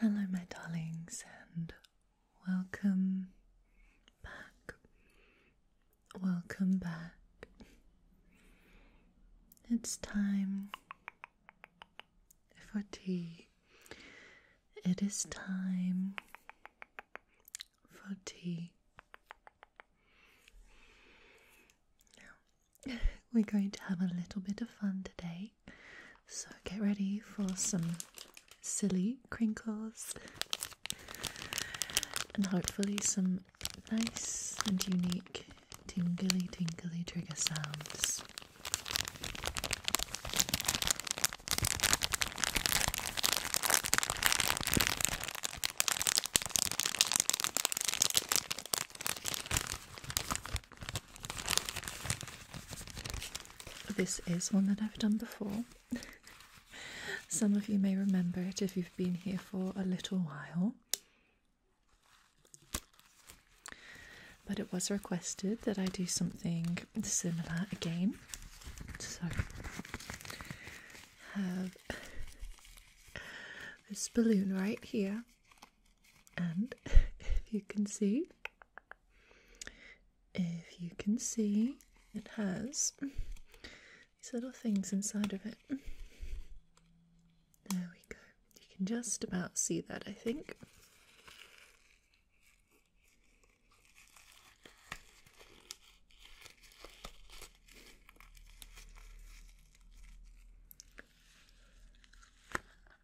Hello, my darlings, and welcome back. Welcome back. It's time for tea. It is time for tea. Now, we're going to have a little bit of fun today. So get ready for some silly crinkles and hopefully some nice and unique tingly tinkly trigger sounds. This is one that I've done before. Some of you may remember it if you've been here for a little while. But it was requested that I do something similar again. So, have this balloon right here. And if you can see, if you can see, it has these little things inside of it. There we go. You can just about see that, I think.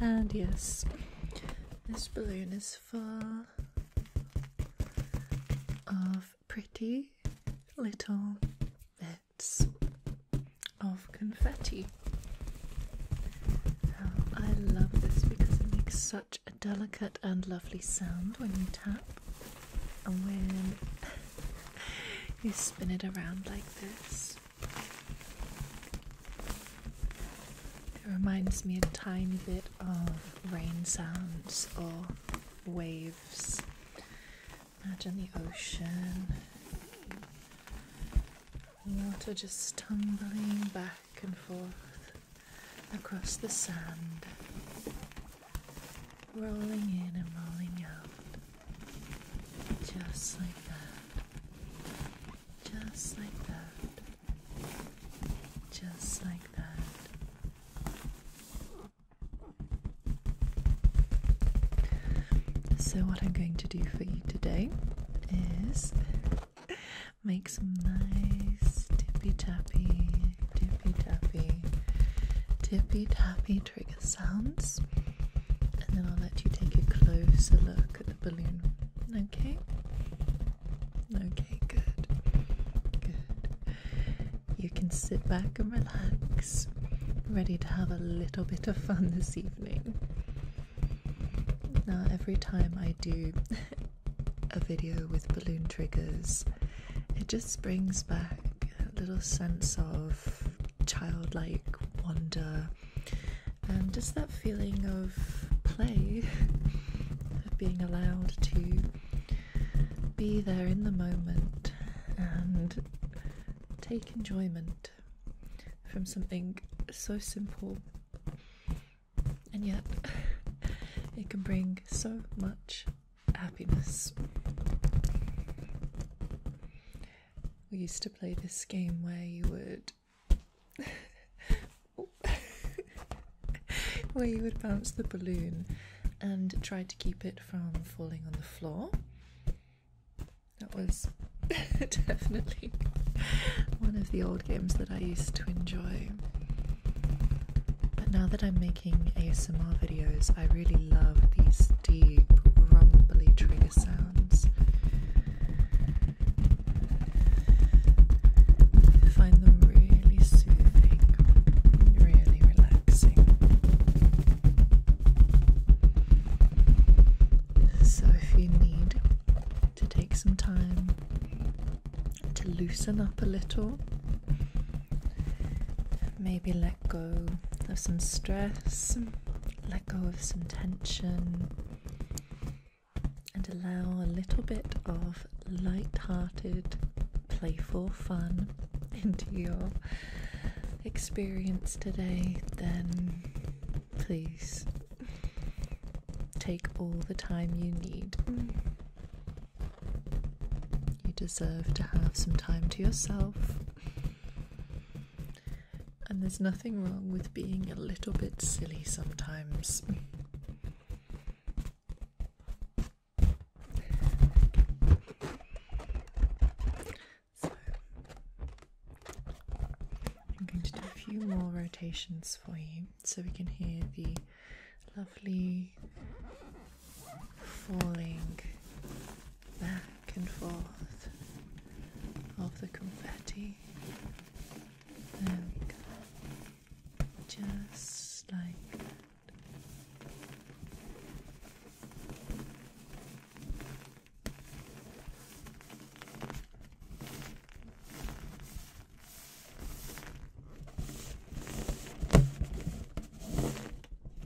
and yes, this balloon is full of pretty little bits of confetti. I love this because it makes such a delicate and lovely sound when you tap and when you spin it around like this. It reminds me a tiny bit of rain sounds or waves. Imagine the ocean. Water just tumbling back and forth across the sand, rolling in and rolling out. Just like that. Just like that. Just like that. So, what I'm going to do for you today is make some nice tippy tappy, tippy tappy, tippy tappy trigger sounds, and then I'll let you take a closer look at the balloon. Okay? Okay, good. Good. You can sit back and relax, ready to have a little bit of fun this evening. Now, every time I do a video with balloon triggers, it just springs back little sense of childlike wonder and just that feeling of play, of being allowed to be there in the moment and take enjoyment from something so simple and yet it can bring so much happiness we used to play this game where you would where you would bounce the balloon and try to keep it from falling on the floor. That was definitely one of the old games that I used to enjoy. But now that I'm making ASMR videos, I really love these deep, rumbling trigger sounds. find them really soothing, really relaxing. So, if you need to take some time to loosen up a little, maybe let go of some stress let go of some tension and allow a little bit of light-hearted, playful fun into your experience today, then please take all the time you need. You deserve to have some time to yourself. And there's nothing wrong with being a little bit silly sometimes. So, I'm going to do a few more rotations for you so we can hear the lovely falling back and forth of the confetti just like that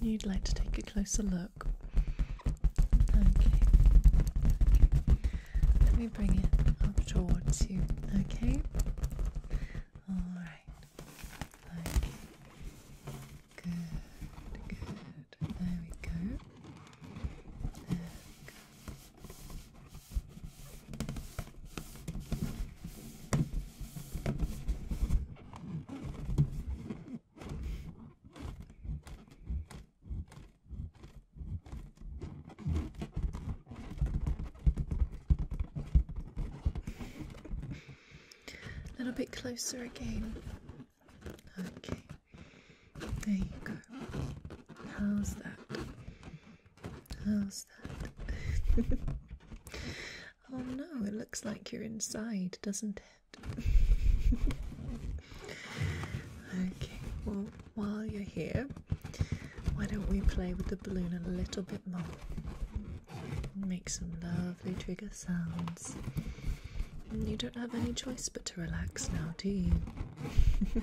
You'd like to take a closer look. Okay. Let me bring it up towards you. Okay. All right. Good. Good. There we go. A little bit closer again. Okay, there you go. How's that? How's oh no, it looks like you're inside, doesn't it? okay, well, while you're here, why don't we play with the balloon a little bit more? Make some lovely trigger sounds. You don't have any choice but to relax now, do you?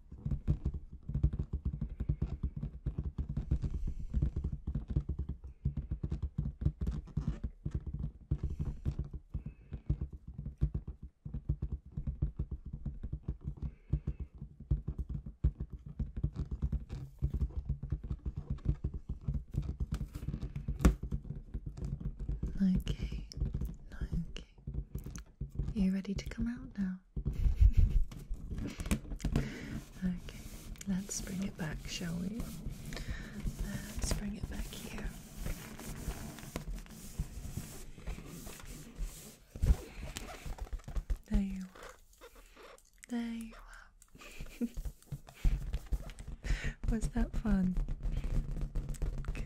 Okay, okay. Are you ready to come out now? okay, let's bring it back, shall we? Let's bring it back here. There you are. There you are. Was that fun?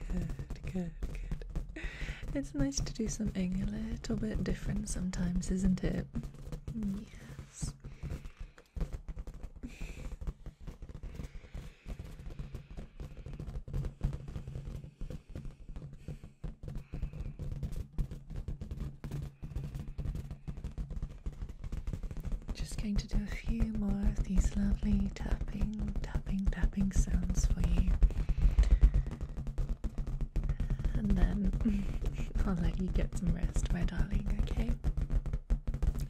Good, good, good. it's nice to do something a little bit different sometimes, isn't it? Yes. Just going to do a few more of these lovely tapping, tapping, tapping sounds for you and then I'll let you get some rest, my darling, okay?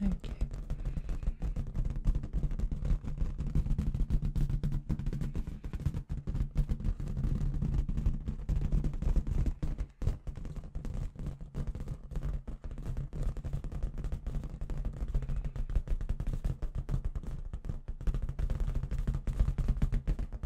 Okay.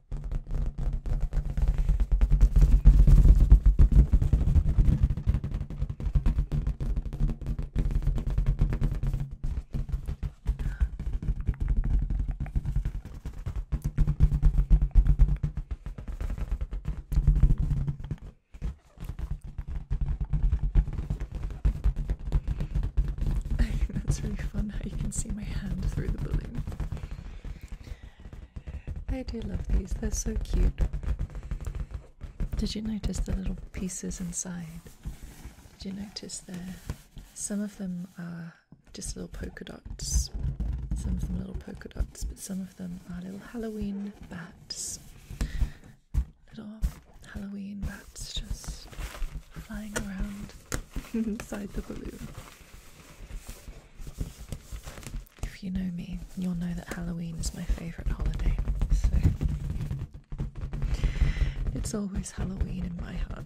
That's really fun how you can see my hand through the balloon. I do love these, they're so cute. Did you notice the little pieces inside? Did you notice there? Some of them are just little polka dots, some of them little polka dots, but some of them are little Halloween bats. Little Halloween bats just flying around inside the balloon. If you know me, you'll know that Halloween is my favourite holiday, so it's always Halloween in my heart.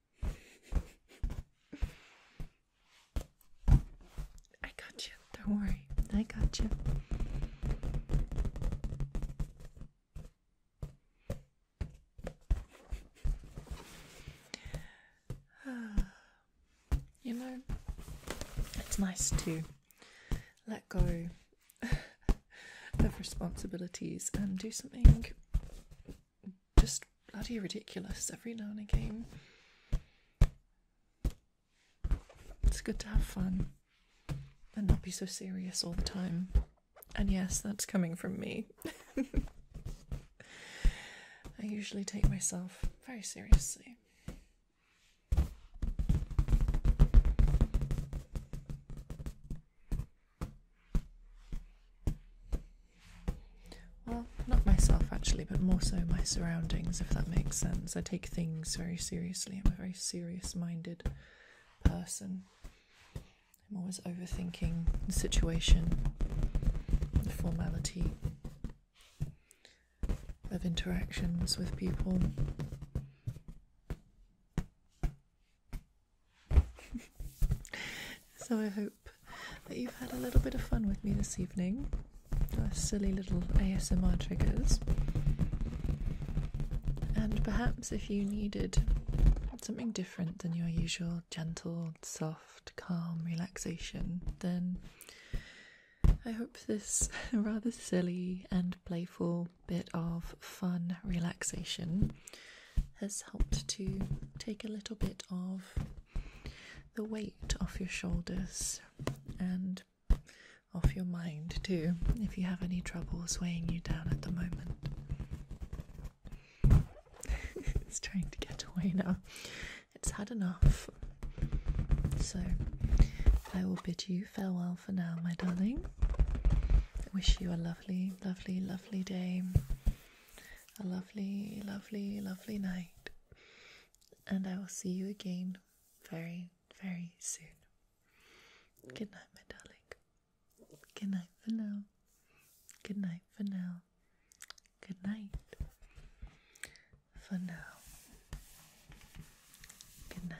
I got you. Don't worry. I got you. you know, it's nice to let go of responsibilities and do something just bloody ridiculous every now and again. It's good to have fun and not be so serious all the time. And yes, that's coming from me. I usually take myself very seriously. Well, not myself actually, but more so my surroundings, if that makes sense. I take things very seriously. I'm a very serious minded person. I'm always overthinking the situation, the formality of interactions with people so I hope that you've had a little bit of fun with me this evening. Our silly little ASMR triggers. And perhaps if you needed something different than your usual gentle, soft, calm relaxation, then I hope this rather silly and playful bit of fun relaxation has helped to take a little bit of the weight off your shoulders and off your mind too if you have any troubles weighing you down at the moment. it's trying to get away now. It's had enough. So I will bid you farewell for now, my darling. I wish you a lovely, lovely, lovely day a lovely, lovely, lovely night. And I will see you again very, very soon. Good night, my darling. Good night for now. Good night for now. Good night for now. Good night.